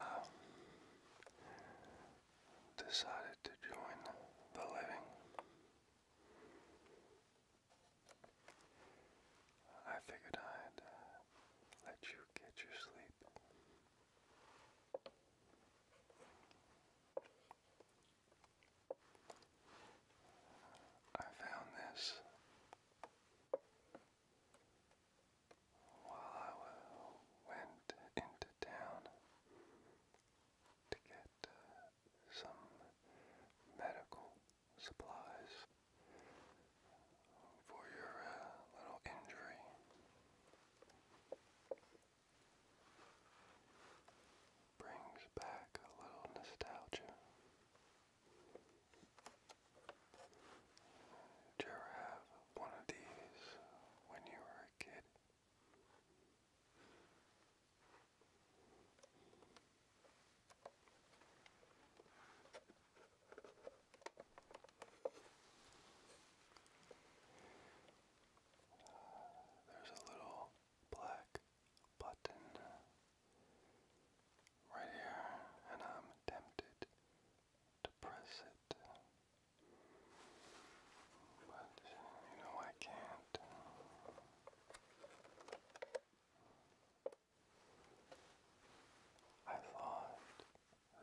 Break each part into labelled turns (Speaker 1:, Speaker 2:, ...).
Speaker 1: Um, decided to join the living. I figured I'd let you get your sleep. I found this while I went into town to get uh, some medical supplies for your uh, little injury brings back a little nostalgia. Did you ever have one of these when you were a kid? There's a little black button right here, and I'm tempted to press it. But you know I can't. I thought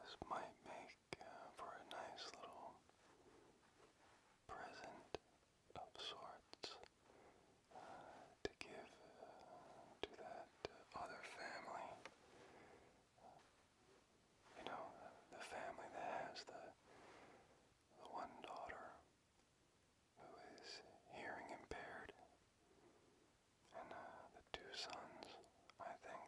Speaker 1: this might make uh, for a nice little present of sorts uh, to give uh, to that other family. you know, the, family that has the the one daughter who is hearing impaired, and the two sons, I think,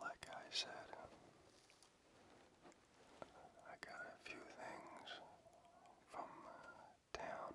Speaker 1: Like I said, I got a few things from uh, town.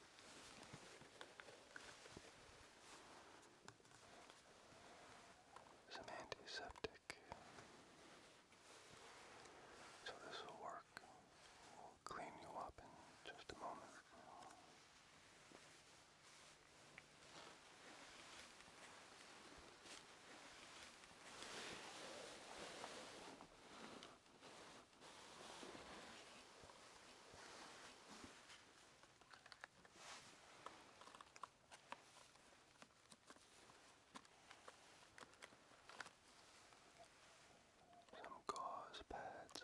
Speaker 1: some antiseptic. So this will work. We'll clean you up in just a moment. Some gauze pads.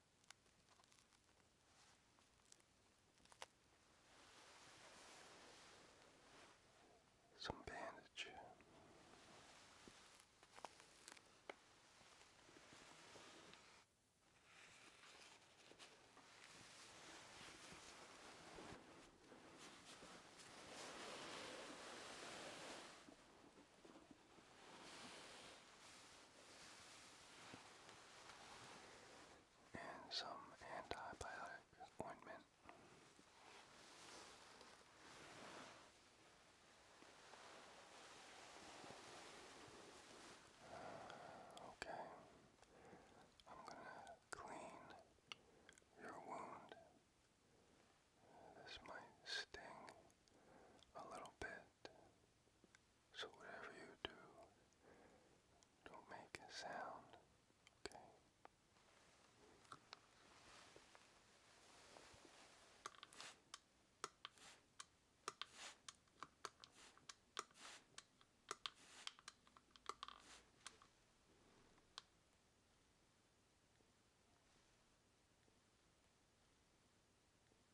Speaker 1: some bandage and some antibiotic ointment. okay, I'm gonna clean your wound. This might sting a little bit. So whatever you do, don't make a sound, okay?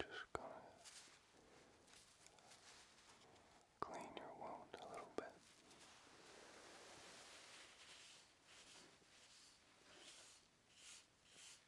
Speaker 2: Just gonna clean your wound a little bit.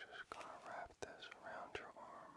Speaker 1: Just gonna wrap this around your arm.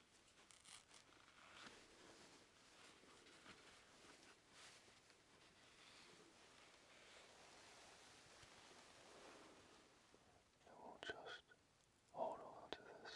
Speaker 1: I will just hold on to this.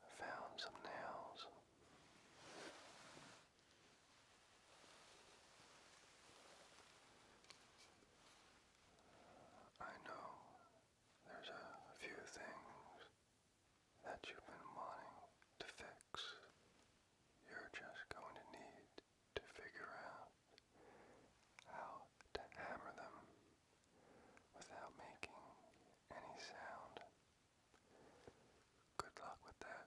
Speaker 1: I found some nails. I know there's a few things that you've been wanting to fix. You're just going to need to figure out how to hammer them without making any sound. Good luck with that.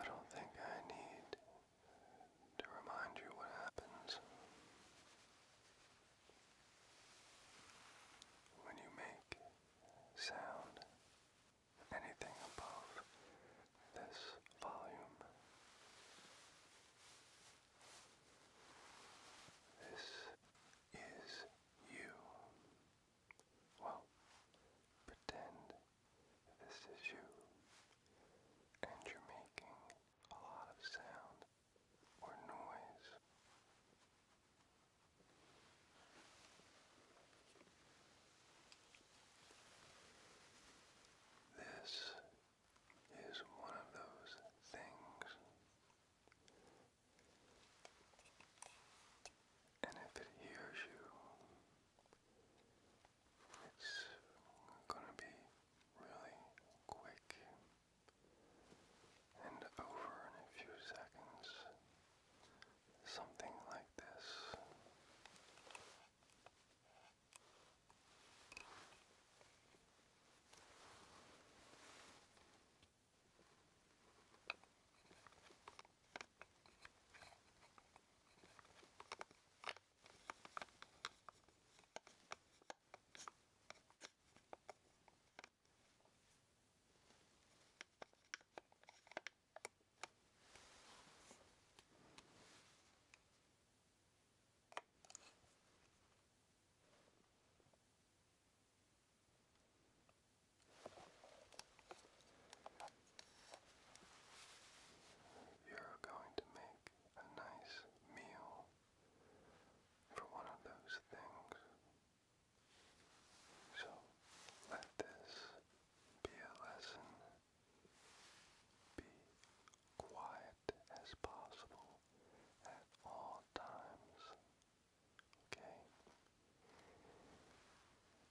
Speaker 1: I don't think I need to remind you what happens. When you make sound anything above this volume, this is you. Well, pretend this is you, and you're making a lot of sound or noise. This is one of those things, and if it hears you, it's going to be really quick and over in a few seconds, something like this. You're going to make a nice meal for one of those things. So let this be a lesson. Be quiet as possible at all times. Okay?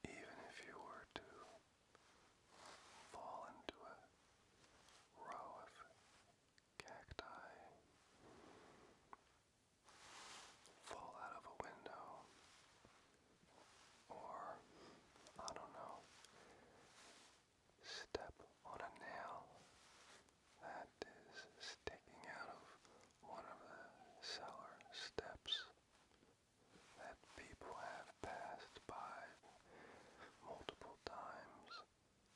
Speaker 1: Even if you were to fall into a row of cacti fall out of a window or I don't know step on a nail that is sticking out of one of the cellar steps that people have passed by multiple times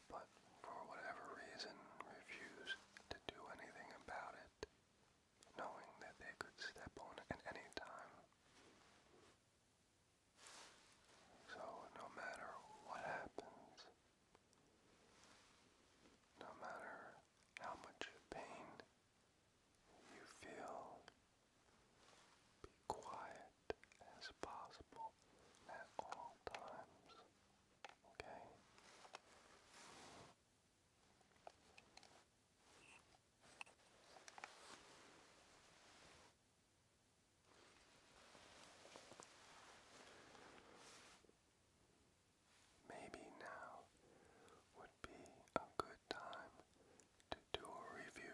Speaker 1: but for whatever reason refused to do anything about it, knowing that they could step on it any time. So no matter what happens, no matter how much pain you feel, be quiet as possible at all times. Okay. Maybe now would be a good time to do a review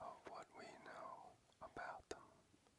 Speaker 2: of what we know about them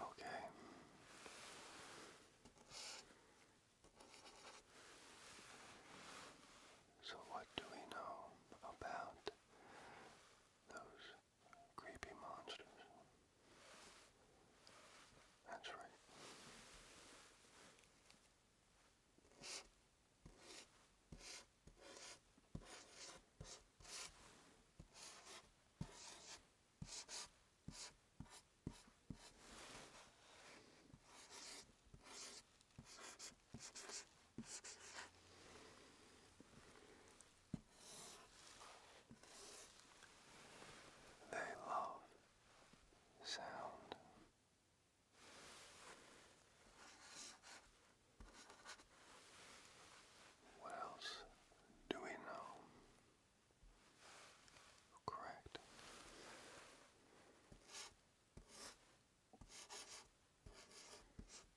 Speaker 1: Okay. So, what do we know about those creepy monsters. That's right.
Speaker 2: They love sound. What else do we know? Correct.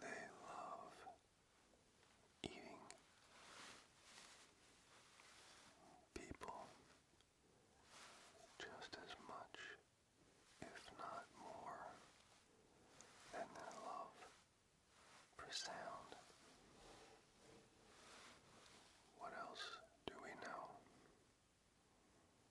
Speaker 2: They love eating. People
Speaker 1: just as much, if not more, than their love for sound. What else do we know?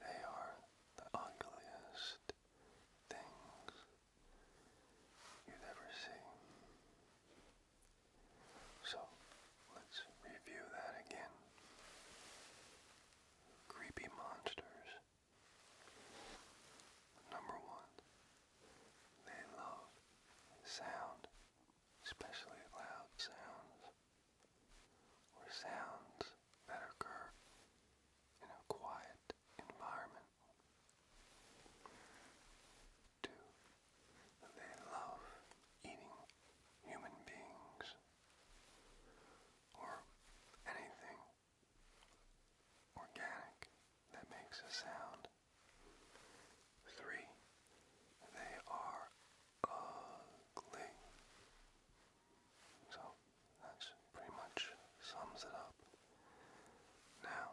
Speaker 1: They are the ugliest things you'd ever see. So let's review that again. Creepy monsters. Number one, they love sound, especially loud sounds or sounds that occur in a quiet environment. Two, they love eating human beings or anything organic that makes a sound. Three, they are ugly. So that pretty much sums it up. Now,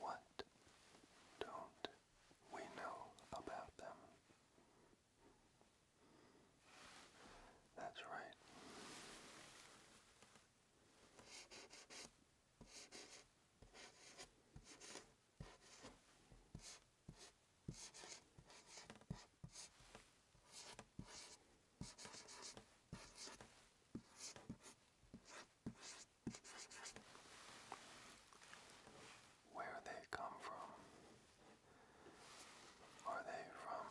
Speaker 2: What don't we know about them? That's right. Where
Speaker 1: they come from? Are they from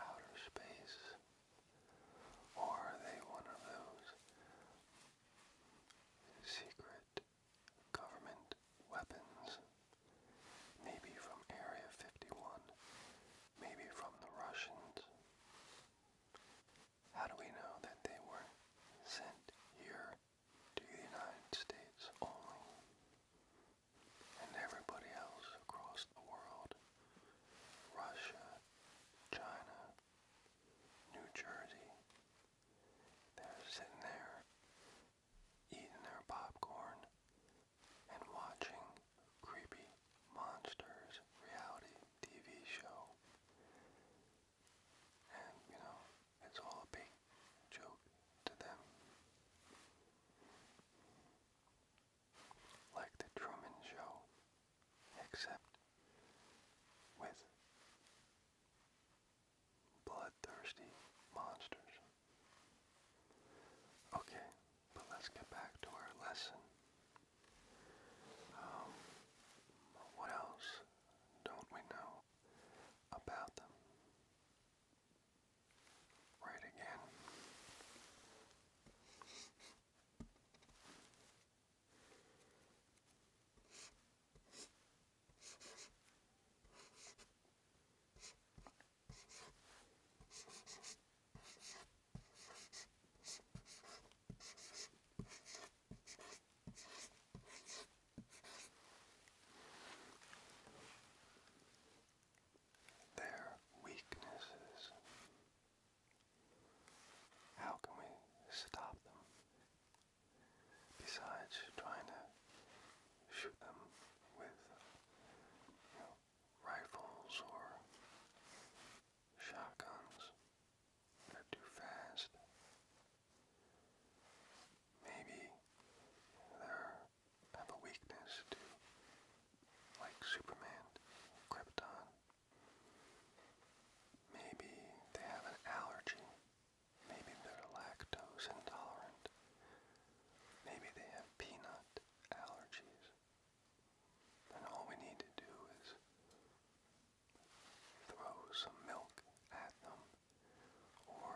Speaker 1: outer space? Or are they one of those secret government weapons, maybe from Area 51, maybe from the Russians. How do we know that they were sent here to the United States only? And everybody else across the world, Russia, China, New Jersey, they're sitting there eating their popcorn and watching creepy monsters reality TV show. And you know, it's all a big joke to them. Like the Truman Show, except with bloodthirsty monsters. Okay, but let's get back to our lesson. Um, what else don't we know about them? Right again. Their weaknesses. How can we stop them besides trying to shoot them with rifles or shotguns. They're too fast. Maybe they have a weakness to, like Superman, Krypton. Maybe they have an allergy Maybe they're lactose intolerant. Maybe they have peanut allergies. And all we need to do is throw some milk at them or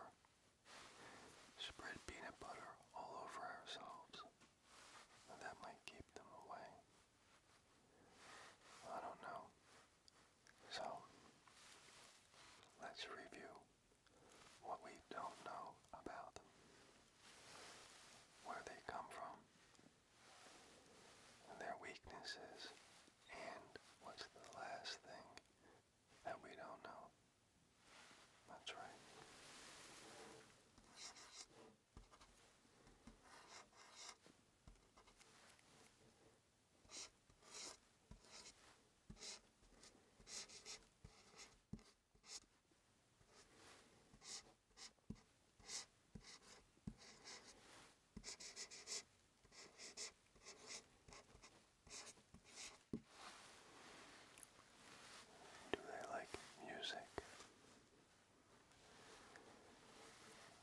Speaker 1: spread peanut butter all over ourselves. that might keep them away. I don't know. So, let's review what we don't know about where they come from, their weaknesses, and what's the last thing that we don't know. That's right. Do they like music?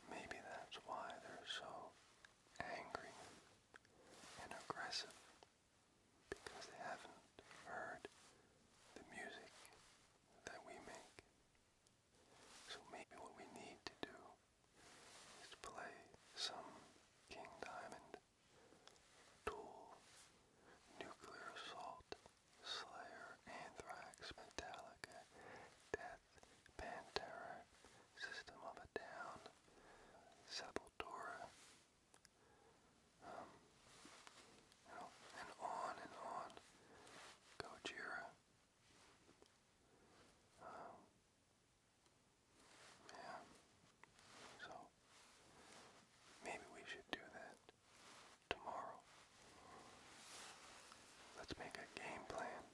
Speaker 1: Maybe that's why they're so angry and aggressive because they haven't heard the music that we make. So maybe what we need to do is play some King Diamond, Tool, Nuclear Assault, Slayer, Anthrax, Metallica, Death Pantera, System of a Down, Sepultura, um, and on and on. Gojira. Um, yeah. So maybe we should do that tomorrow. Let's make a game plan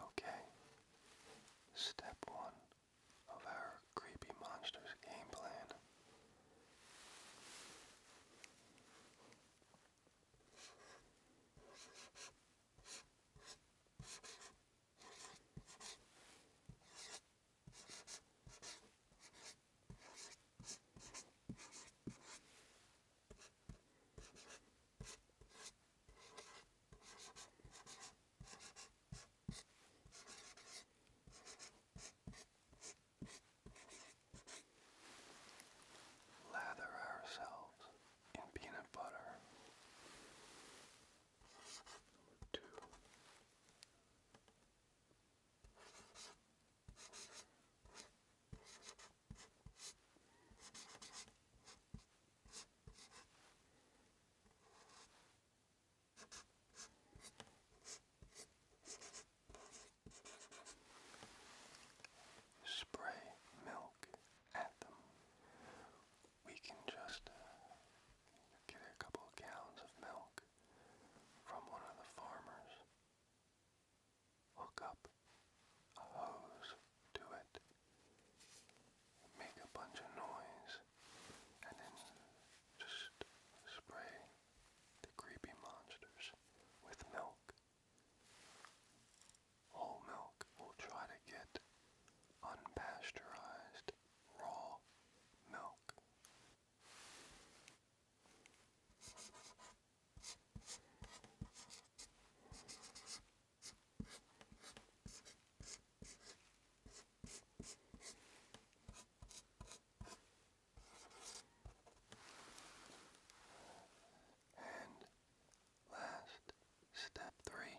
Speaker 1: Okay, step one of our creepy monsters game plan. Lather ourselves in peanut butter. Spray milk at them. We can just get uh, a couple gallons of milk from one of the farmers, hook up a hose to it, make a bunch of noise and then just spray the creepy monsters with milk. Whole milk will try to get unpasteurized raw milk.
Speaker 2: And last step three.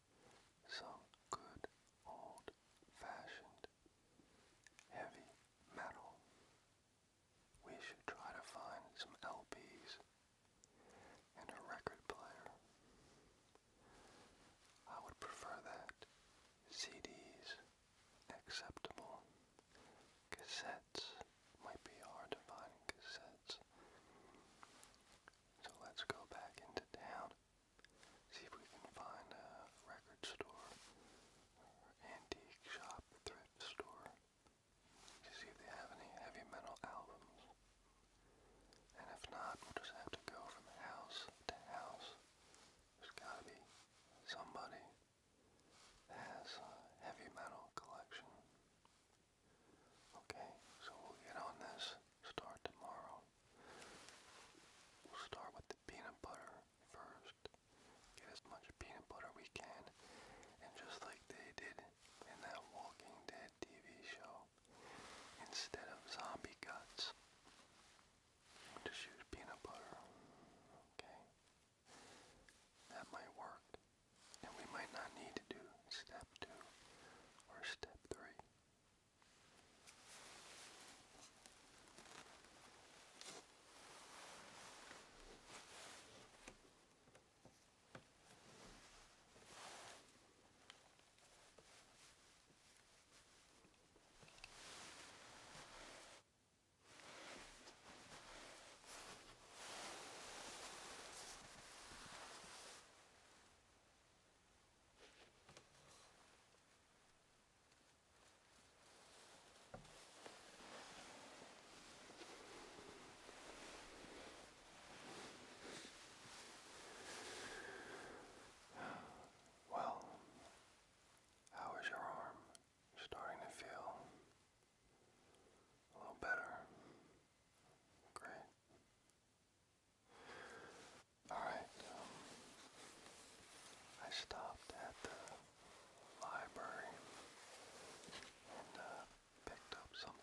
Speaker 1: some good old fashioned heavy metal. We should try to find some LPs and a record player. I would prefer that. CDs, acceptable. Cassettes, might be hard to find cassettes. So let's go back into town, see if we can find a record store or antique shop, thrift store, to see if they have any heavy metal albums. And if not, we'll just have to go from house to house. There's gotta be somebody that has a heavy metal collection. Okay, so we'll get on this. Start tomorrow. We'll start with the peanut butter first. Get as much peanut butter we can. And just like they did in that Walking Dead TV show, instead of zombie guts, just use peanut butter. Okay? That might work and we might not need to do step two or step three. Well, how is your arm starting to feel a little better? Great. Alright, um, I stopped at the library and uh, picked up something.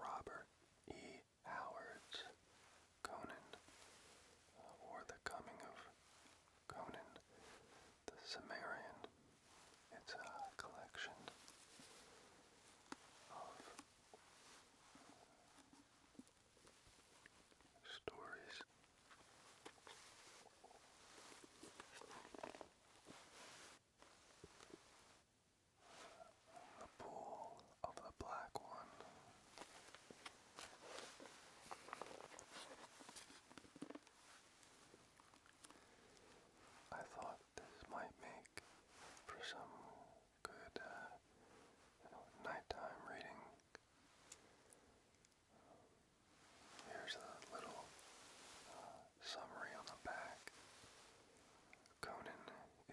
Speaker 1: Robert E. Howard's Conan, uh, or The Coming of Conan the Sumerian. It's a collection of stories. The pool of the black one. I thought this might make for some good uh, nighttime reading. Here's a little uh, summary on the back. Conan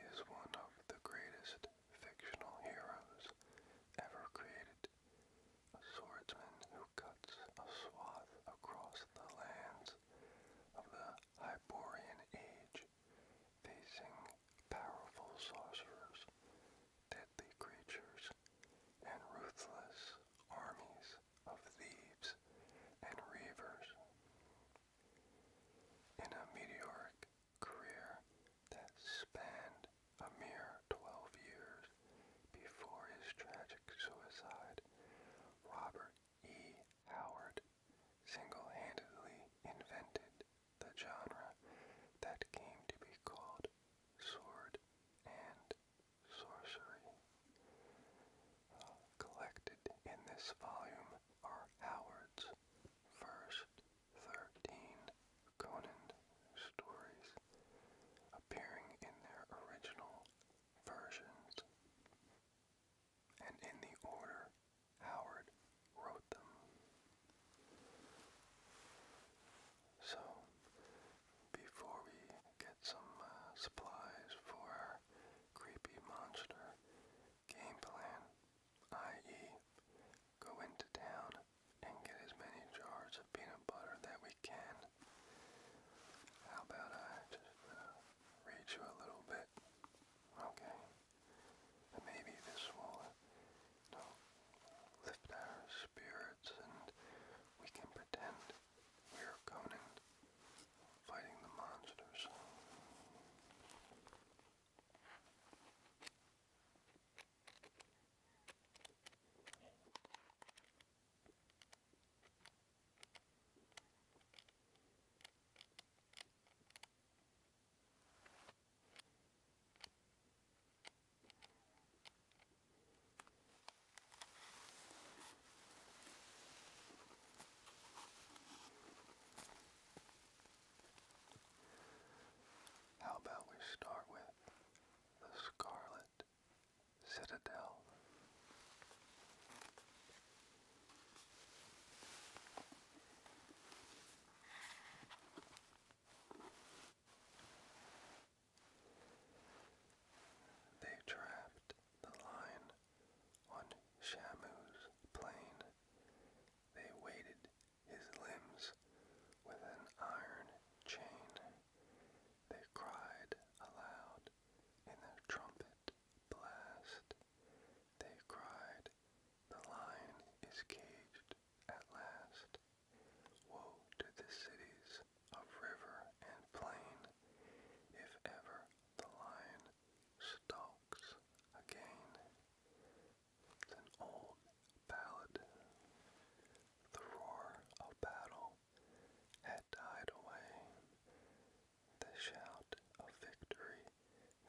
Speaker 1: is one of the greatest fictional heroes ever created. A swordsman who cuts a swath across the lands of the Hyborian Age, facing powerful sorcerers deadly creatures, and ruthless armies of thieves and reavers. In a meteoric career that spanned a mere 12 years before his tragic suicide, Robert E. Howard single-handedly invented the genre that came to be called sword and sorcery. Uh, collected in this volume are Howard's first 13 Conan stories, appearing in their original versions. And in the order Howard wrote them. So, before we get some uh, supplies for our creepy monster game plan, i.e., go into town and get as many jars of peanut butter that we can. How about I just uh, read you a little bit? Okay. maybe this will you know, lift our spirits and we can pretend we're Conan fighting the monsters. How about we start with the Scarlet Citadel? They trapped the lion on Shamu's plane. They weighted his limbs with an iron chain. They cried aloud in their trumpet blast. They cried, The lion is caged at last. Woe to the cities of river and plain, if ever the lion stalks again. It's an old ballad. The roar of battle had died away. The shout of victory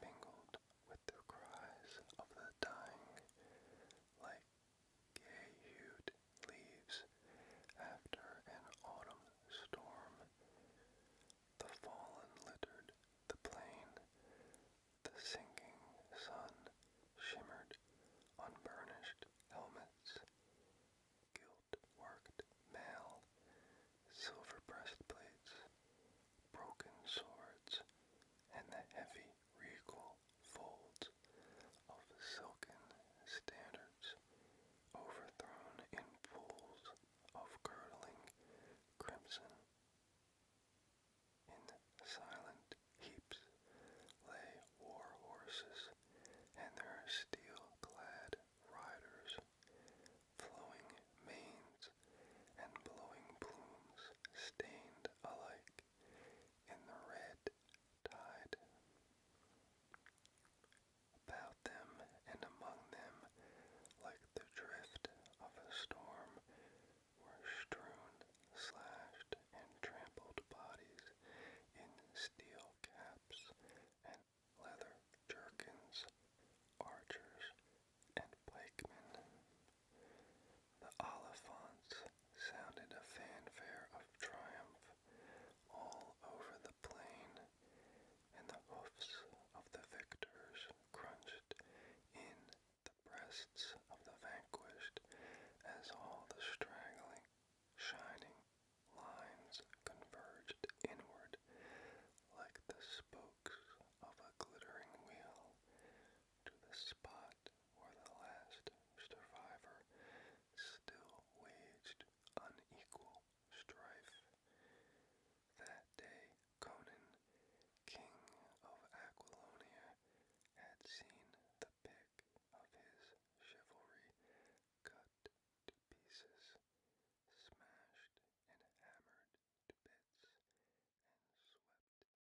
Speaker 1: mingled with the cries of the dying, like gay-hued leaves after an autumn storm. The fallen littered the plain. The sinking sun shimmered on burnished helmets, gilt-worked mail, silver breastplates, broken swords, and the heavy regal folds of silken standards overthrown in pools of curdling crimson. In silent heaps lay war horses and their steel-clad riders, flowing manes and blowing plumes stained alike back in the red tide. About them and among them, like the drift of a storm, were strewn, slashed, and trampled bodies in steel caps and leather jerkins, archers, and pikemen the Oliphants sounded a fanfare of triumph all over the plain, and the hoofs of the victors crunched in the breasts of the vanquished as all the straggling, shining lines converged inward like the spokes of a glittering wheel to the spot were the last survivor still waged unequal strife. That day Conan, king of Aquilonia, had seen the pick of his chivalry cut to pieces, smashed and
Speaker 2: hammered to bits, and swept into